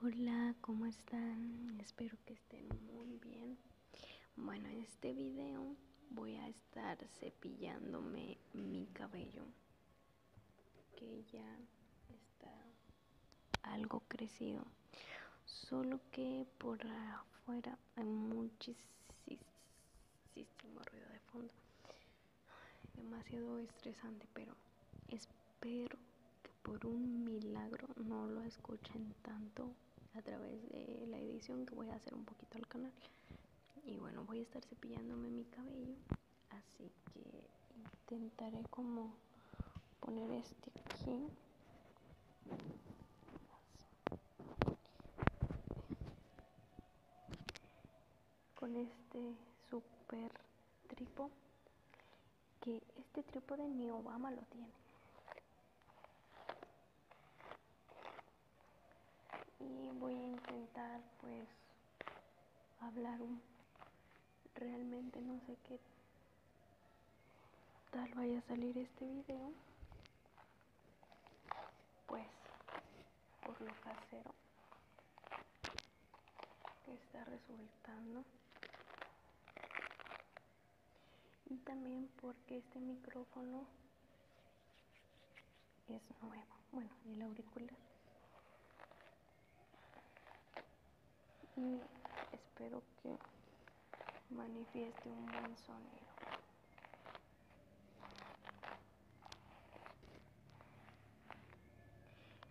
Hola, ¿cómo están? Espero que estén muy bien. Bueno, en este vídeo voy a estar cepillándome mi cabello, que ya está algo crecido. Solo que por afuera hay muchísimo ruido de fondo demasiado estresante, pero espero que por un milagro no lo escuchen tanto a través de la edición que voy a hacer un poquito al canal. Y bueno, voy a estar cepillándome mi cabello, así que intentaré como poner este aquí con este super tripo que este trípode de Obama lo tiene y voy a intentar pues hablar un realmente no sé qué tal vaya a salir este video pues por lo casero que está resultando y también porque este micrófono es nuevo bueno y el auricular y espero que manifieste un buen sonido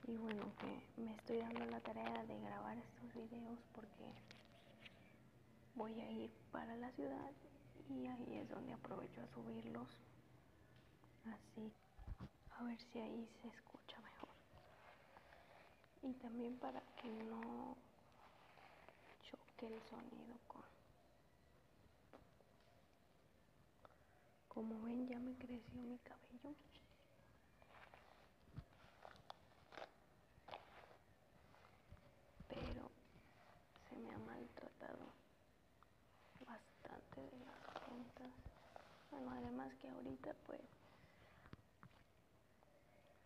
y bueno, que me estoy dando la tarea de grabar estos videos porque voy a ir para la ciudad y ahí es donde aprovecho a subirlos. Así, a ver si ahí se escucha mejor. Y también para que no choque el sonido con como ven, ya me creció mi cabello. Pero se me ha maltratado bastante de las puntas. Bueno, además que ahorita pues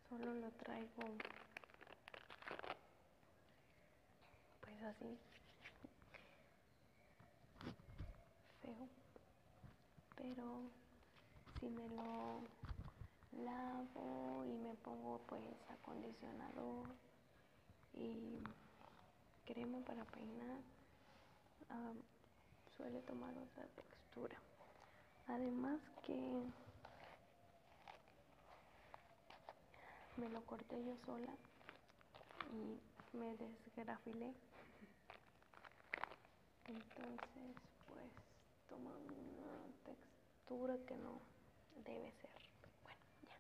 solo lo traigo pues así. Feo. Pero si me lo lavo y me pongo pues acondicionador y crema para peinar, suele tomar otra textura. Además que me lo corté yo sola y me desgrafilé. Entonces, pues toma una textura que no debe ser. Bueno, ya.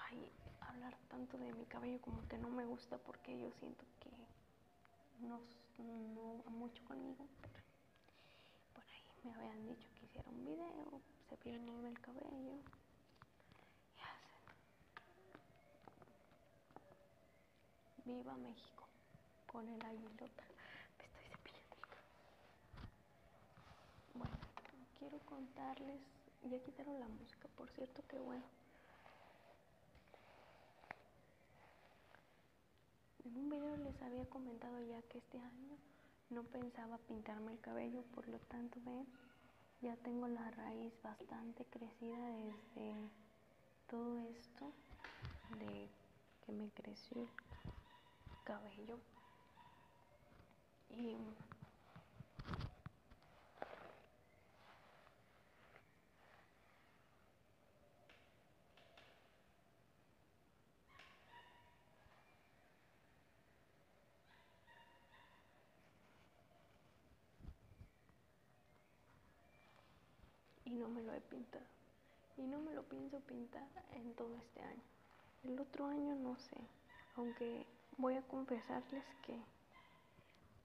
Ay, hablar tanto de mi cabello como que no me gusta porque yo siento que no, va mucho conmigo, por ahí me habían dicho que hiciera un video, pierde el cabello. Y hacen. Viva México. Con el aguilota. Me estoy cepillando el cabello. Bueno, quiero contarles. Ya quitaron la música, por cierto, que bueno. En un video les había comentado ya que este año no pensaba pintarme el cabello, por lo tanto ven, ya tengo la raíz bastante crecida desde todo esto de que me creció el cabello. Y no me lo he pintado. Y no me lo pienso pintar en todo este año. El otro año no sé. Aunque voy a confesarles que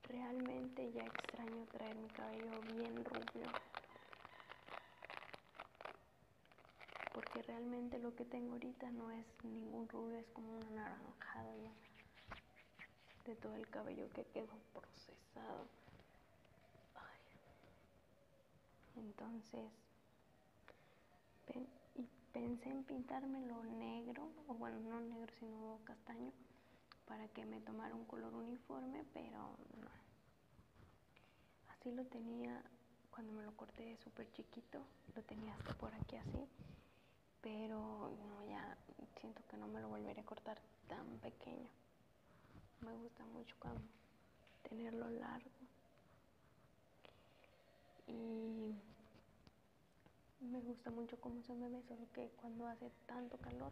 realmente ya extraño traer mi cabello bien rubio porque realmente lo que tengo ahorita no es ningún rubio, es como un naranjada de todo el cabello que quedó procesado. Entonces, y pensé en pintármelo negro, o bueno, no negro, sino castaño, para que me tomara un color uniforme, pero no. Así lo tenía cuando me lo corté súper chiquito, lo tenía hasta por aquí así, pero no, ya siento que no me lo volveré a cortar tan pequeño. Me gusta mucho tenerlo largo. Y me gusta mucho cómo se me ve, solo que cuando hace tanto calor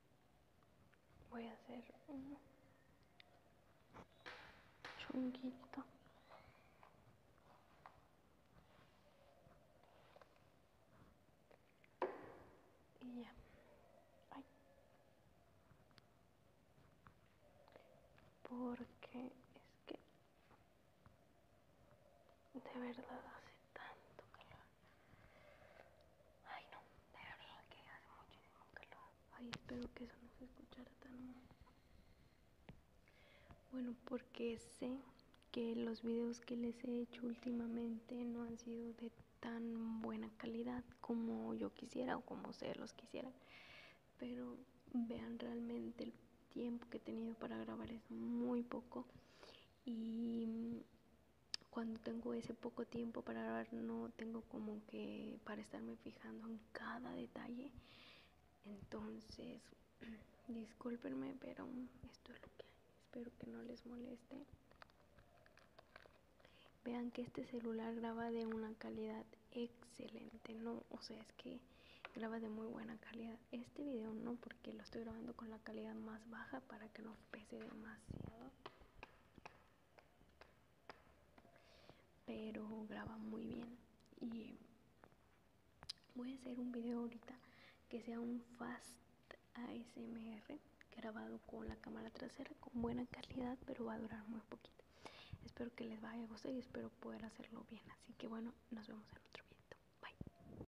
voy a hacer un chunguito y ya porque es que de verdad hace tanto calor Ay, no, de verdad que hace muchísimo calor. Ay, espero que eso no se escuchara tan Bueno, porque sé que los videos que les he hecho últimamente no han sido de tan buena calidad como yo quisiera o como ustedes los quisieran. Pero vean realmente el tiempo que he tenido para grabar es muy poco. Y cuando tengo ese poco tiempo para grabar, no tengo como que para estarme fijando en cada detalle. Entonces, discúlpenme, pero esto es lo que hay. Espero que no les moleste. Vean que este celular graba de una calidad excelente, no, o sea, es que graba de muy buena calidad. Este video no, porque lo estoy grabando con la calidad más baja para que no pese demasiado. Pero graba muy bien. Y voy a hacer un video ahorita que sea un fast ASMR grabado con la cámara trasera con buena calidad, pero va a durar muy poquito. Espero que les vaya a gustar y espero poder hacerlo bien. Así que bueno, nos vemos en otro video.